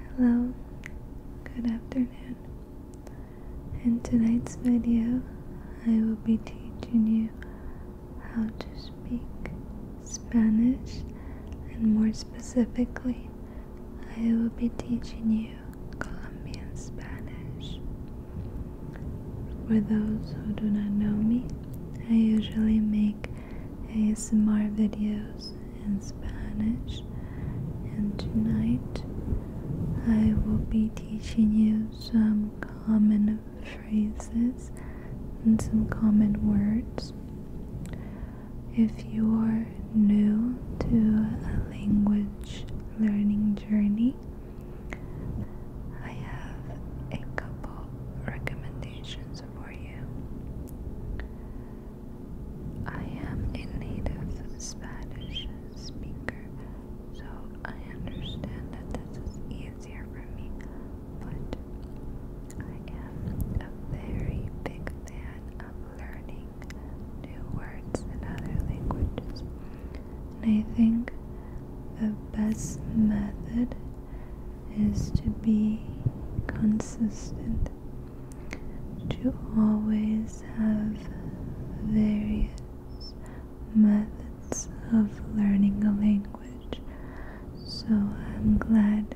Hello, good afternoon. In tonight's video, I will be teaching you how to speak Spanish and more specifically, I will be teaching you Colombian Spanish. For those who do not know me, I usually make ASMR videos in Spanish, and tonight I will be teaching you some common phrases and some common words. If you're new to a language learning journey, I have a couple recommendations for you. I am a native Spanish speaker, so I understand that this is easier for me, but I am a very big fan of learning new words in other languages. And I think the best method is to be consistent to always have various methods of learning a language. So I'm glad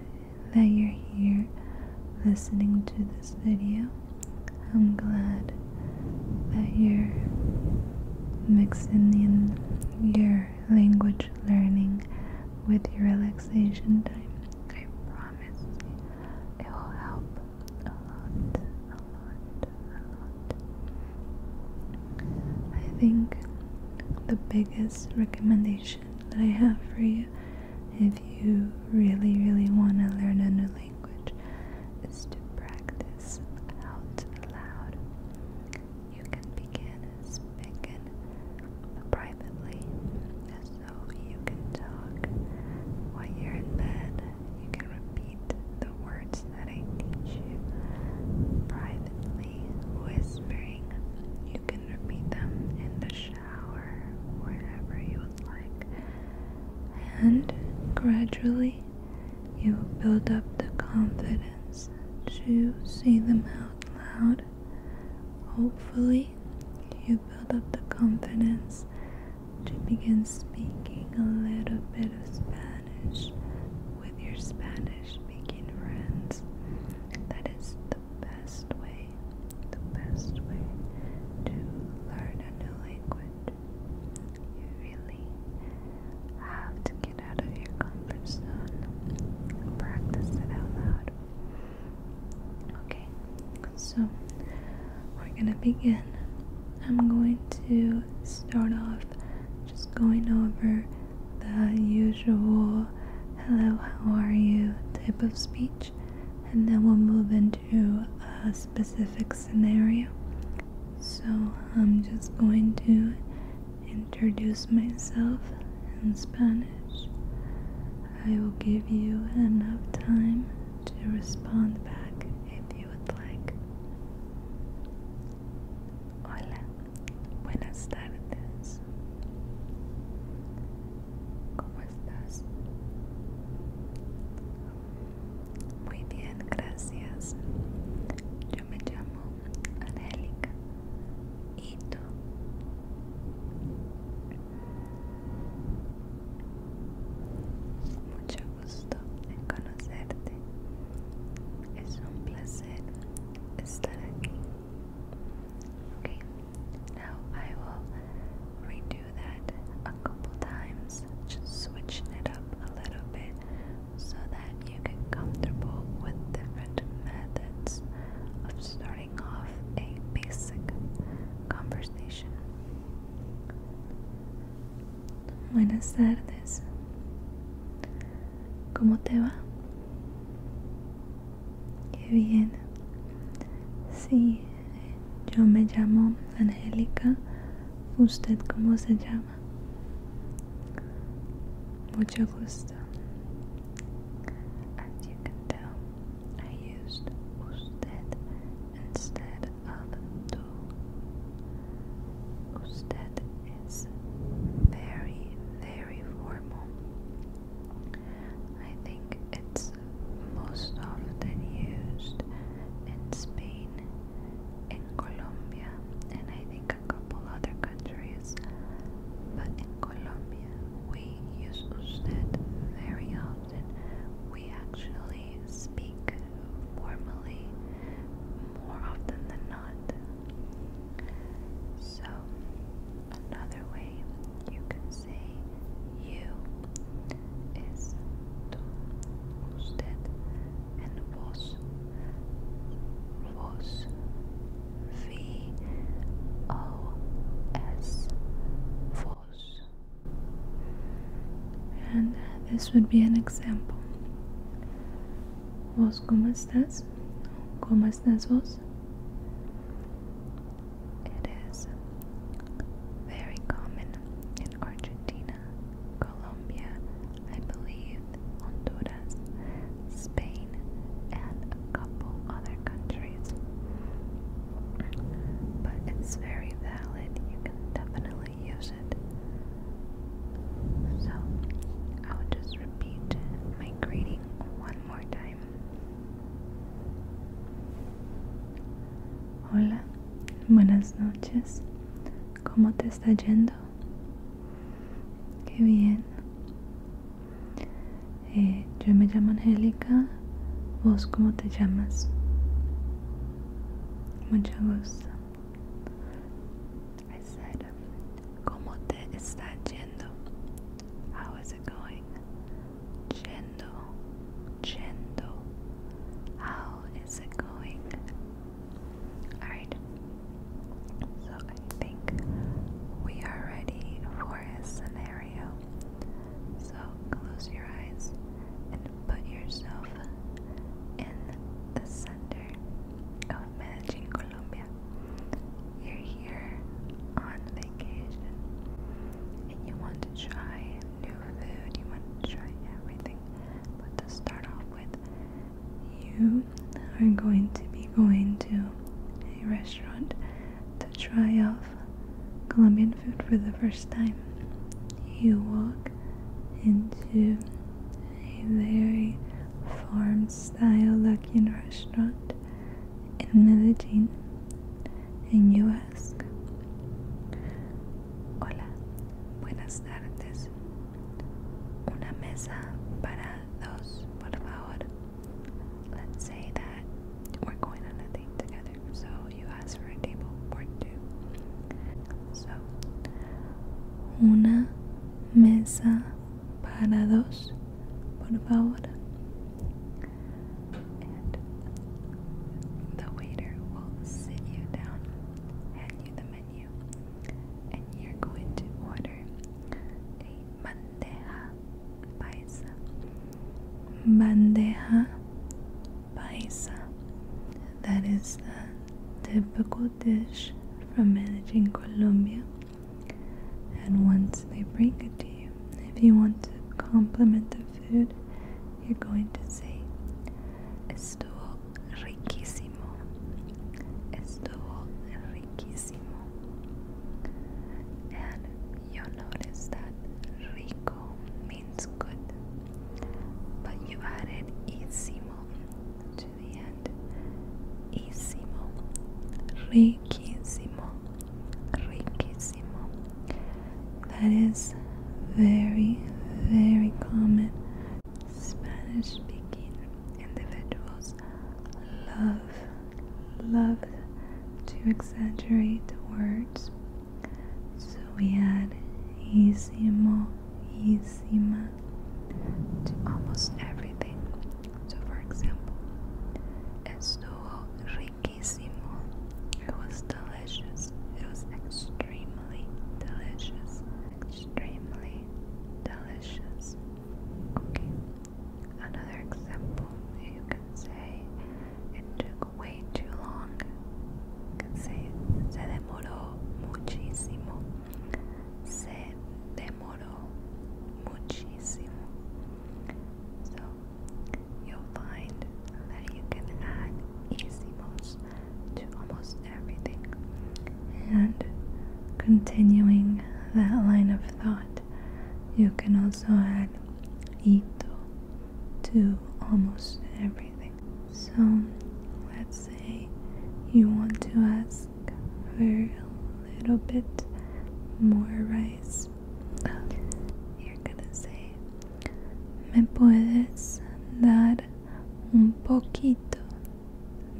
that you're here listening to this video. I'm glad that you're mixing in your language learning with your relaxation time. I promise it will help a lot, a lot, a lot. I think the biggest recommendation that I have for you, if you really, really want to learn a new language, is to practice out loud. You can begin is speaking privately, so you can talk while you're in bed. You can repeat the words that I teach privately, whispering. You can repeat them in the shower, wherever you would like. And gradually, you build up the confidence to say them out loud Hopefully, you build up the confidence to begin speaking a little bit of Spanish with your Spanish speaking friends. That is the best way, the best way to learn a new language. You really have to get out of your comfort zone and practice it out loud. Okay, so we're gonna begin. I'm going to start off just going over the usual hello, how are you type of speech, and then we'll move into a specific scenario. So I'm just going to introduce myself in Spanish, I will give you enough time to respond back if you would like. Hola, buenas tardes. ¿Cómo estás? Muy bien, gracias. Yo me llamo Angélica. ¿Y tú? Mucho gusto en conocerte. Es un placer estar aquí. Okay, now I will redo that a couple times, just switching it up a little bit so that you get comfortable with different methods of starting. of a basic conversation. Buenas tardes. ¿Cómo te va? Qué bien. Sí, yo me llamo Angélica. ¿Usted cómo se llama? Mucho gusto. system. you can tell, I used usted instead of tú. Usted is very, very formal. I think it's most often used in Spain, in Colombia, and I think like a couple other countries, but in Colombia we use usted very often. We actually speak formally more often than not. So, another way you can say you is tú, usted, and vos. Vos V O S Vos. And this would be an example. como estás? Como estás vos? It is very common in Argentina, Colombia, I believe, Honduras, Spain, and a couple other countries. But it's very valid, you can definitely use it. So, I'll just repeat my greeting one more time. Hola, buenas noches. ¿Cómo te está yendo? Qué bien. Eh, yo me llamo Angélica, vos cómo te llamas. Mucho gusto. I said, ¿cómo te está yendo? How is it going? Yendo, yendo. How is it going? Alright. So I think we are ready for a scenario. So close your eyes and put yourself in the center of Medellin, Colombia. You're here on vacation and you want to try new food, you want to try everything. But to start off with, you are going to be going to a restaurant to try off Colombian food for the first time. You walk into a very farm style looking restaurant in Medellin and you ask, Hola, buenas tardes. Una mesa para those por favor. Let's say that we're going on a date together. So you ask for a table for two. So una mesa para dos, por favor. And the waiter will sit you down, hand you the menu and you're going to order bandeja paisa. Bandeja paisa. That is the typical dish from Medellin, Colombia. And once they bring it to you, if you want to compliment the food, you're going to say, Estuvo riquísimo. Estuvo riquísimo. And you notice that rico means good, but you added ísimo to the end. Ísimo, riquísimo, riquísimo. That is very, very common Spanish speaking individuals love, love to exaggerate words. So we add isimo, isima to almost everything. So, for example, estuvo riquísimo. It was delicious. It was extremely delicious. Extremely delicious. Okay, another example you can say it took way too long. You can say se demoró muchísimo. Se demoró muchísimo. So you'll find that you can add ísimos to almost everything. And continuing that line of thought, you can also add ito to almost everything. So let's say you want to ask for a little bit more rice. You're gonna say, Me puedes dar un poquito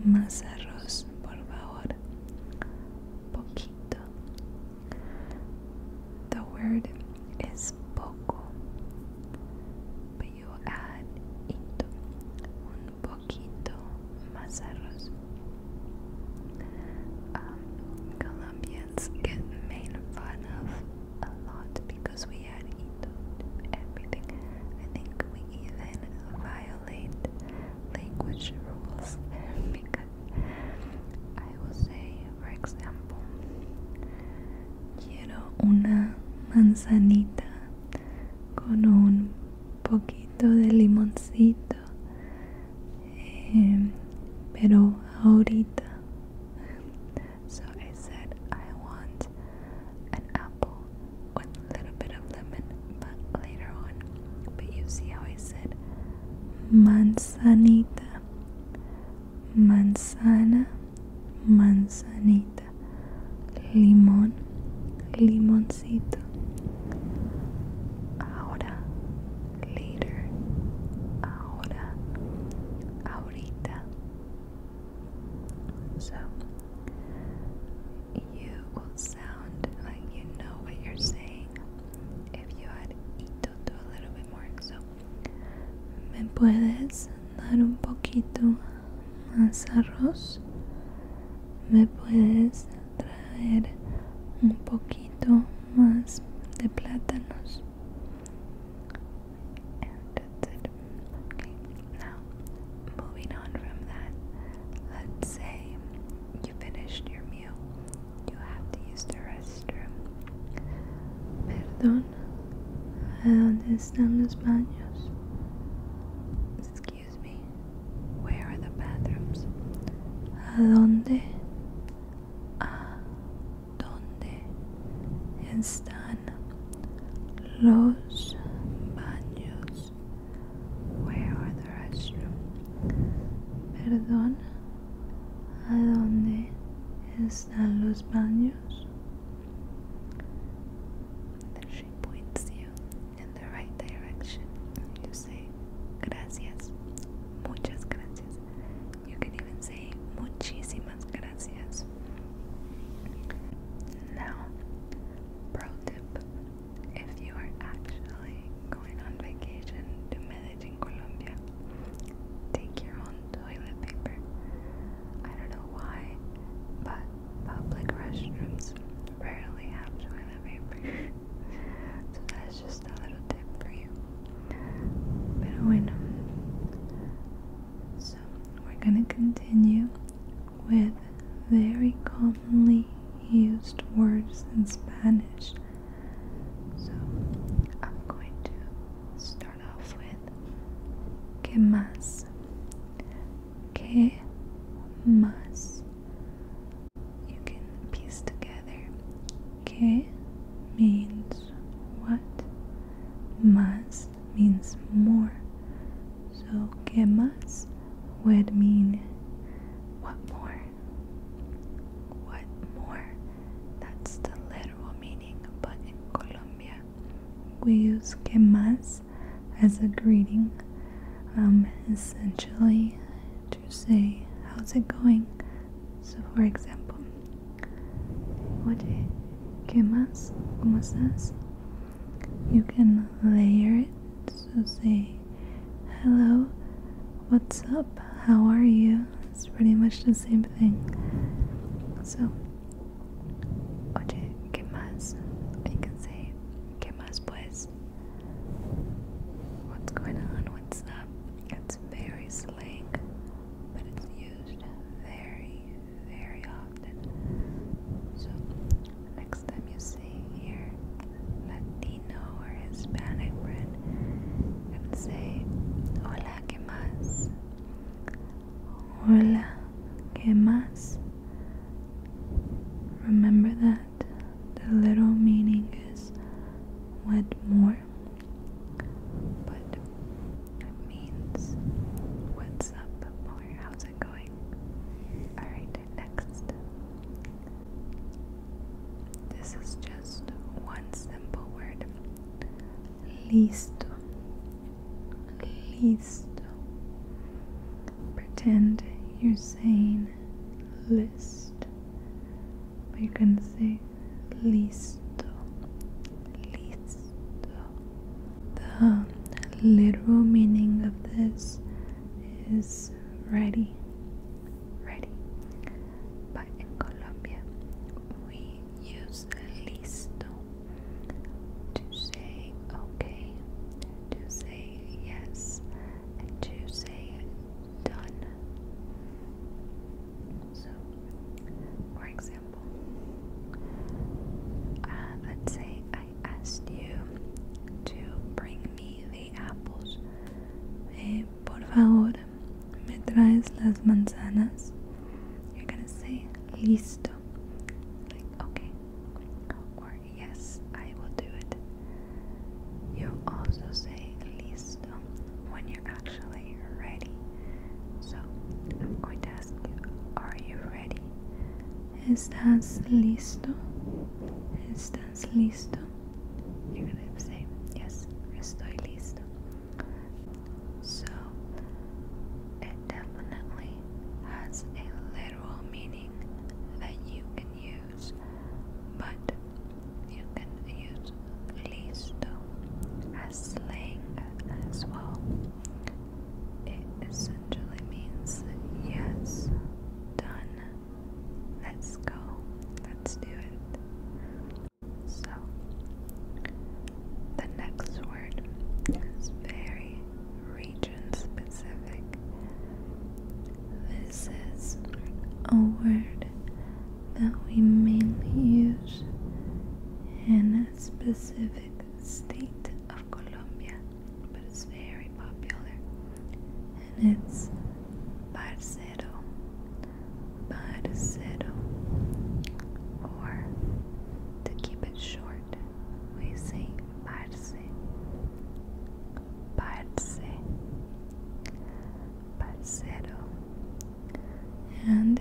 Más arroz, por favor. Poquito. The word is poco, but you add ito. Un poquito más arroz. Um, Colombians get made fun of a lot because we had ito everything. I think we even, via language rules because I will say, for example, quiero una manzanita con un poquito de limoncito, eh, pero ahorita. So I said, I want an apple with a little bit of lemon, but later on. But you see how I said manzanita, manzana, manzanita, limón, limoncito. Ahora, later, ahora, ahorita. So, you will sound like you know what you're saying if you had eaten a little bit more. So, ¿me puedes dar un poquito más arroz? ¿Me puedes traer un poquito más de plátanos? that's it. Okay, now moving on from that, let's say you finished your meal, you have to use the restroom. Perdón, ¿a dónde están los Excuse me, where are the bathrooms? ¿A dónde? ¿A ah, dónde los baños where are the restrooms? perdón a dónde están los baños then she points you in the right direction you say gracias muchas gracias you can even say muchísimas gracias now Pro tip if you are actually going on vacation to Medellin, Colombia, take your own toilet paper. I don't know why, but public restrooms rarely have toilet paper. so that's just a little tip for you. Pero bueno. So we're gonna continue with very commonly used words in Spanish. So I'm going to start off with que más. Que más. You can piece together. Que means what? Más means more. So que más would mean what more? What more? That's the literal meaning, but in Colombia we use que más as a greeting, um, essentially to say how's it going. So for example, oye, que más? ¿Cómo estás? You can layer it. So say, hello, what's up, how are you? It's pretty much the same thing. So, oye, ¿qué más? You can say, ¿qué más pues? What's going on? What's up? It's very slang, but it's used very, very often. So, next time you see here Latino or Hispanic friend, say, Hola, ¿qué más? Hola, ¿qué más? Remember that the little meaning is what more, but it means what's up or how's it going. Alright, next. This is just one simple word. Listo. Listo. Pretend you're saying list. But you can say listo. Listo. The literal meaning of this is ready, ready. But in Colombia, we use listo to say okay, to say yes, and to say done. So, for example, uh, let's say I asked you to bring me the apples. Hey, eh, por favor, me traes las manzanas. You're gonna say listo. Like, okay. Or yes, I will do it. You also say listo when you're actually ready. So, I'm going to ask are you ready? ¿Estás listo? ¿Estás listo? You're gonna say, yes, estoy listo. So, it definitely has a literal meaning that you can use, but you can use listo as slang as well. It essentially means yes, done, let's go, let's do it. So, the next word is very region specific. This is a word that we mainly use in a specific specific state of Colombia, but it's very popular. And it's parcero, parcero, or to keep it short, we say parce, parce, parcero, and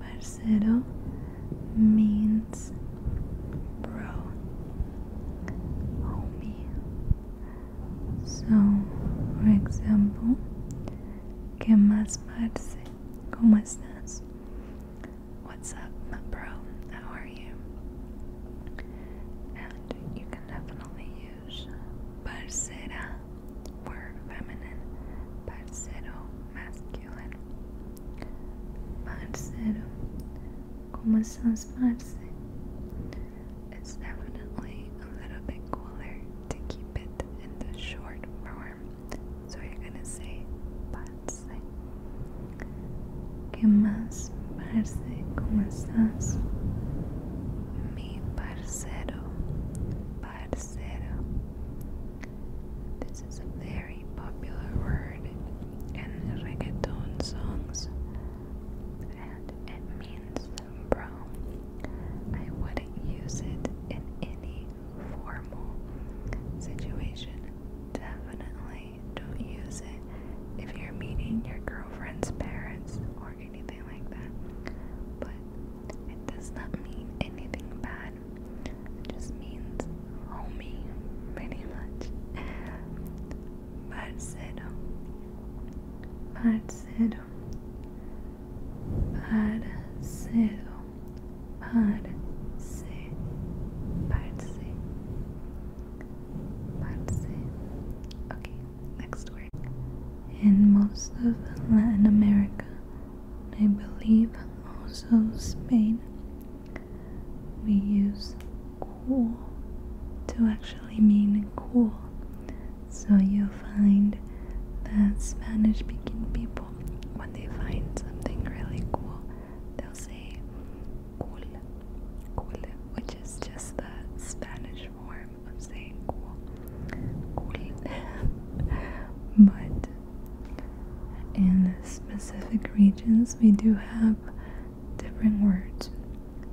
parcero means bro, homie. So, for example, ¿Qué más parce? ¿Cómo estás? What's up, my bro? How are you? And you can definitely use parcera for feminine, parcero masculine diyor. Parceiro. Como It's definitely a little bit cooler to keep it in the short form. So you're gonna say parce. Que más parce? Como Mi parceiro. Parceiro. This is a very popular word in reggaeton songs and it means brown. I wouldn't use it in any formal situation. Definitely don't use it if you're meeting your girlfriend's parents or anything like that. But it does not mean anything bad. It just means homie, pretty much. Parceiro. Parceiro. Parceiro. Parce. Parce. Parce. Okay, next word. In most of Latin America, I believe also Spain we use cool to actually mean cool. So you'll find that Spanish speaking people, when they find something really cool, they'll say cool, cool, which is just the Spanish form of saying cool, but in specific regions, we do have different words.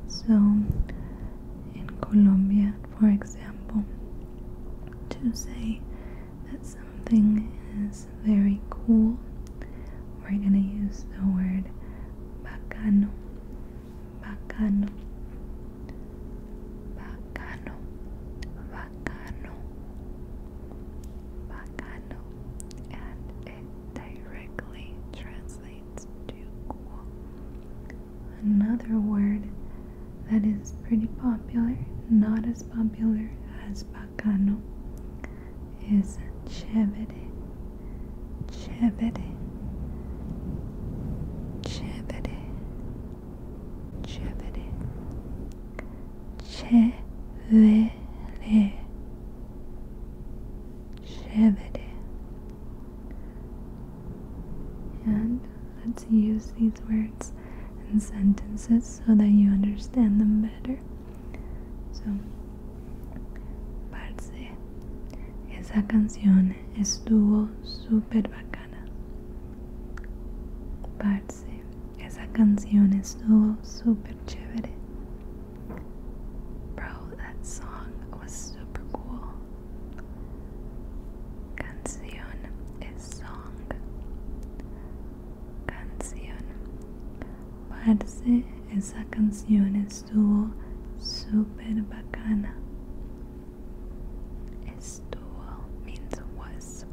So, in Colombia, for example, to say that something is very cool, we're going to use the word bacano. Bacano. Bacano. Bacano, Bacano, and it directly translates to cool. Another word that is pretty popular, not as popular as Bacano, is "chevity." Chevity. Chevity chévere, chévere, chévere. And let's use these words and sentences so that you understand them better. So, parce, esa canción estuvo super bacana mexicana. esa canción estuvo super chévere. Bro, that song was super cool. Canción is song. Canción. Parce, esa canción estuvo super bacana. Estuvo means was.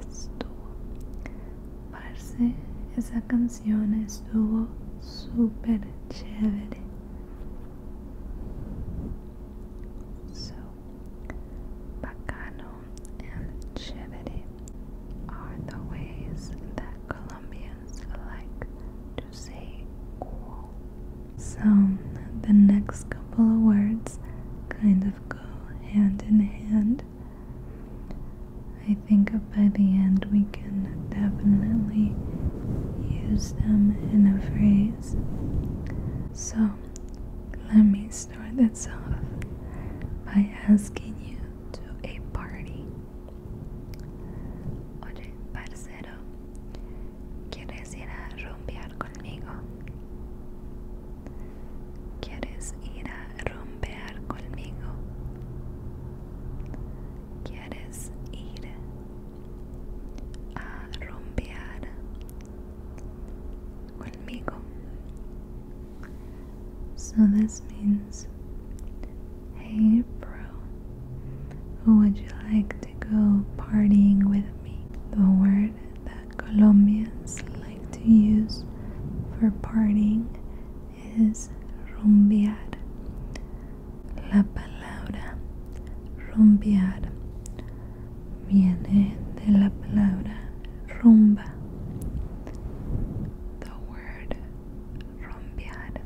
Estuvo. Parce, esa canción estuvo súper chévere. So, bacano and chévere are the ways that Colombians like to say cool. So, the next couple of words kind of go hand in hand. I think by the end we can definitely use them in a phrase. So, let me start this off by asking you to a party. Oye, parcero, ¿Quieres ir a rompear conmigo? ¿Quieres ir a So this means, hey bro, would you like to go partying with me? the word that Colombians like to use for partying is rumbear. La palabra rumbear viene de la palabra rumba. The word rumbear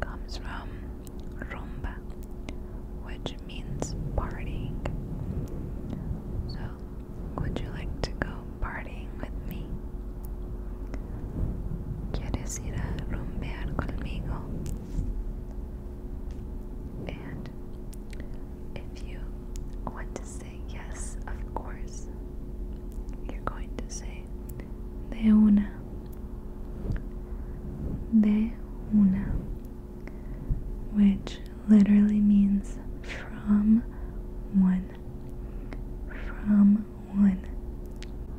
comes from rumba, which means partying. So, would you like to go partying with me? ¿Quieres ir a rumbear conmigo? And if you want to say yes, of course, you're going to say de una, de una which literally means from one. From one.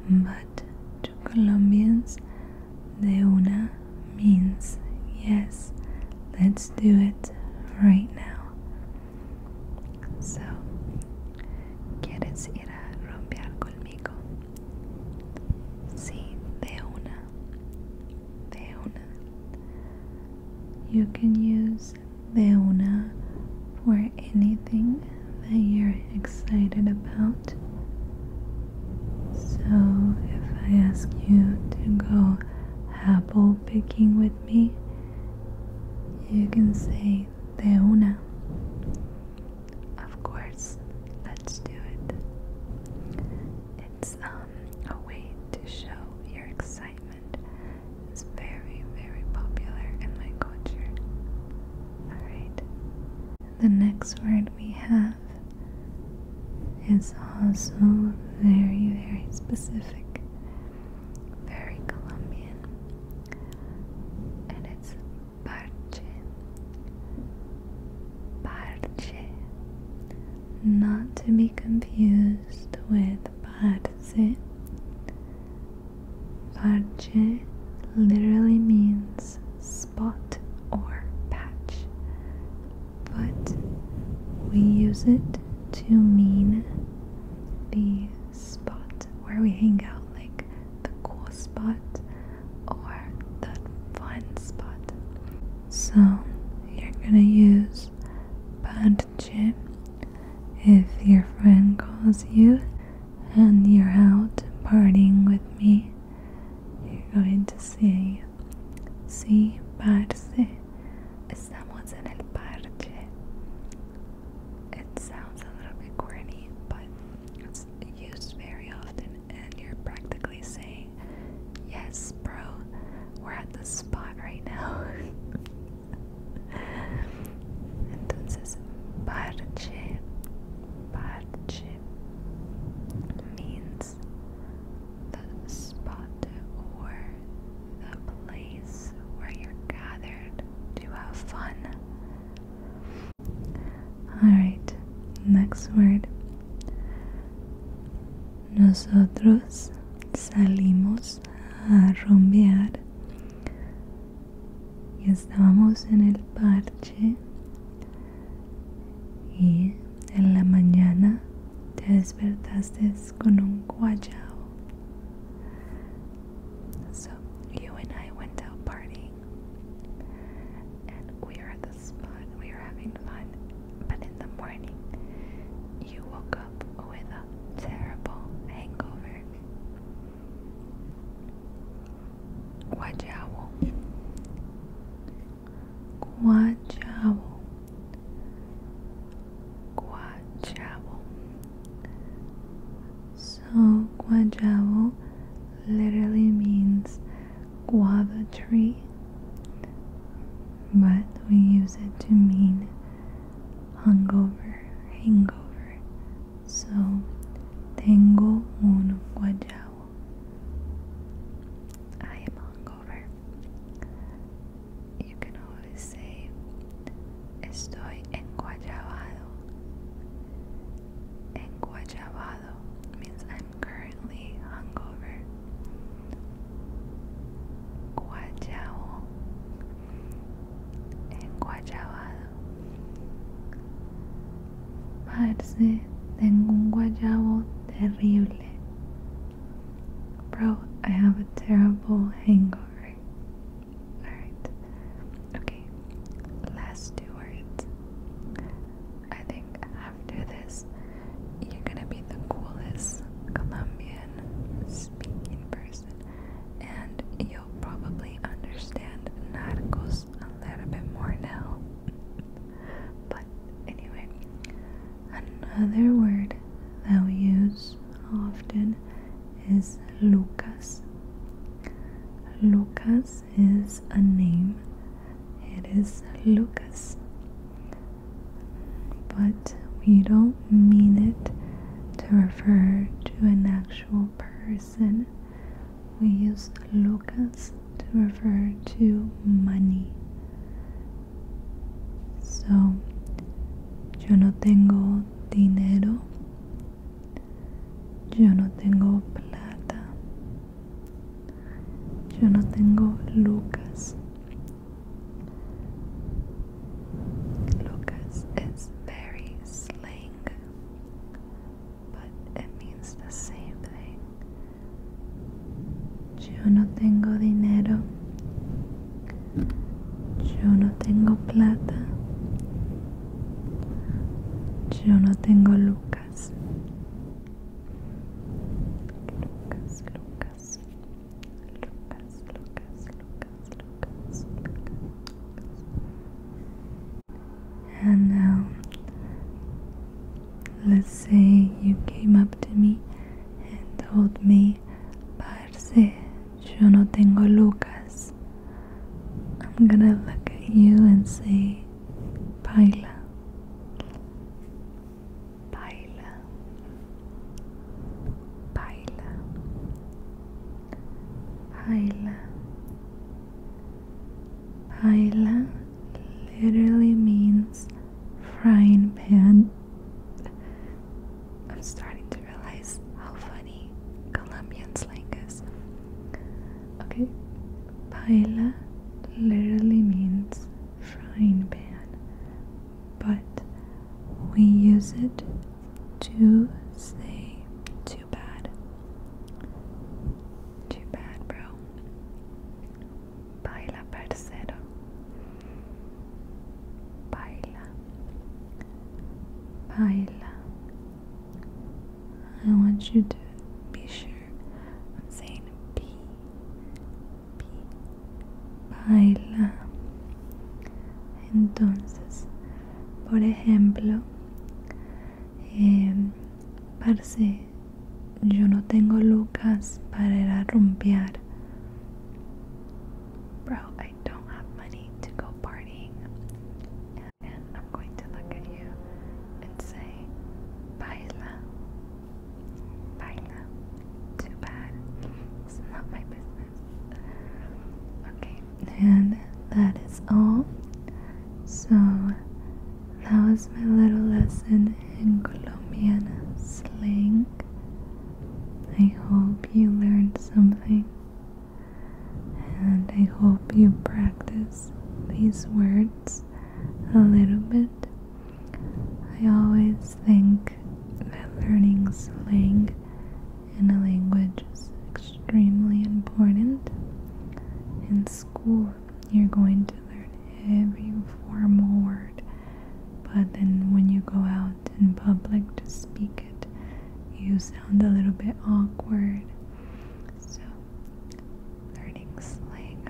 But to Colombians, de una means yes, let's do it right now. So, ¿quieres ir a romper conmigo? Sí, de una. Leona. You can use Leona for anything that you're excited about. So, if I ask you to go apple picking with me, you can say de of course, let's do it. It's um a way to show your excitement. It's very, very popular in my culture. Alright. The next word we have is also very, very specific, very Colombian, and it's parche parche not to be confused with parse parche literally means spot or patch but we use it to mean the spot where we hang out like the cool spot or the fun spot. So you're gonna use Padche if your friend calls you and you're out partying with me. You're going to say, Sí, parce, estamos en el parche. It sounds a little bit corny, but it's used very often, and you're practically saying, Yes, bro, we're at the spot right now. Entonces, parche, parche means the spot or the place where you're gathered to have fun. Alright, next word. Nosotros salimos a rompear y estábamos en el parche y en la mañana te despertaste con un guayao. So you and I went out partying. And we are at this spot, we are having fun. But in the morning, you woke up with a terrible hangover. Guajao. Guajao. Guajao. So, guajavo literally means guava tree, but we use it to mean hungover, hangover. So, tengo un guajavo. I am hungover. You can always say, Estoy enguayabado. Enguayabado means I'm currently hungover. Guayao. Enguayabado. Parce, tengo un guayabo terrible. Bro, I have a terrible hangover. Alright. Okay, last two words. I think after this, you're gonna be the coolest Colombian speaking person, and you'll probably understand Narcos a little bit more now. but anyway, another word that we use often is Lucas. Lucas is a name. It is Lucas. But we don't mean it to refer to an actual person. We use Lucas to refer to money. So, yo no tengo dinero. Yo no tengo plata. Yo no tengo Lucas. Lucas es very slang, but it means the same thing. Yo no tengo dinero. Yo no tengo plata. Yo no tengo Lucas. Lucas, Lucas. Lucas, Lucas, Lucas, Lucas. Lucas. lucas And now, let's say you came up to me and told me, Parce, yo no tengo Lucas. eyes. I'm gonna look at you and say, Paila. Paila. Paila. Paila. Paila literally means frying pan. I'm starting to realize how funny Colombian slang is. Okay, paella literally means frying pan, but we use it to say too bad. Too bad, bro. Paella parcero. Paella. Paella. I want you to be sure I'm saying P. P. Baila. Entonces, por ejemplo, eh, parce, yo no tengo lucas para ir Bro, I don't have money to go partying and I'm going to look at you and say, Baila. Baila. Too bad. It's not my business. Okay, and that is all. So, that was my little lesson in Colombian slang. I hope you learned something. And I hope you practice these words a little bit. I always think that learning slang in a language is extremely important. In school, you're going to learn every formal word, but then when you go out in public to speak it, you sound a little bit awkward so, learning slang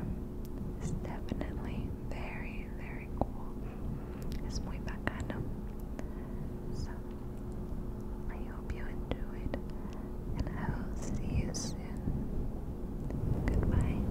is definitely very, very cool. Es muy bacano. So, I hope you enjoyed, and I will see you soon. Goodbye.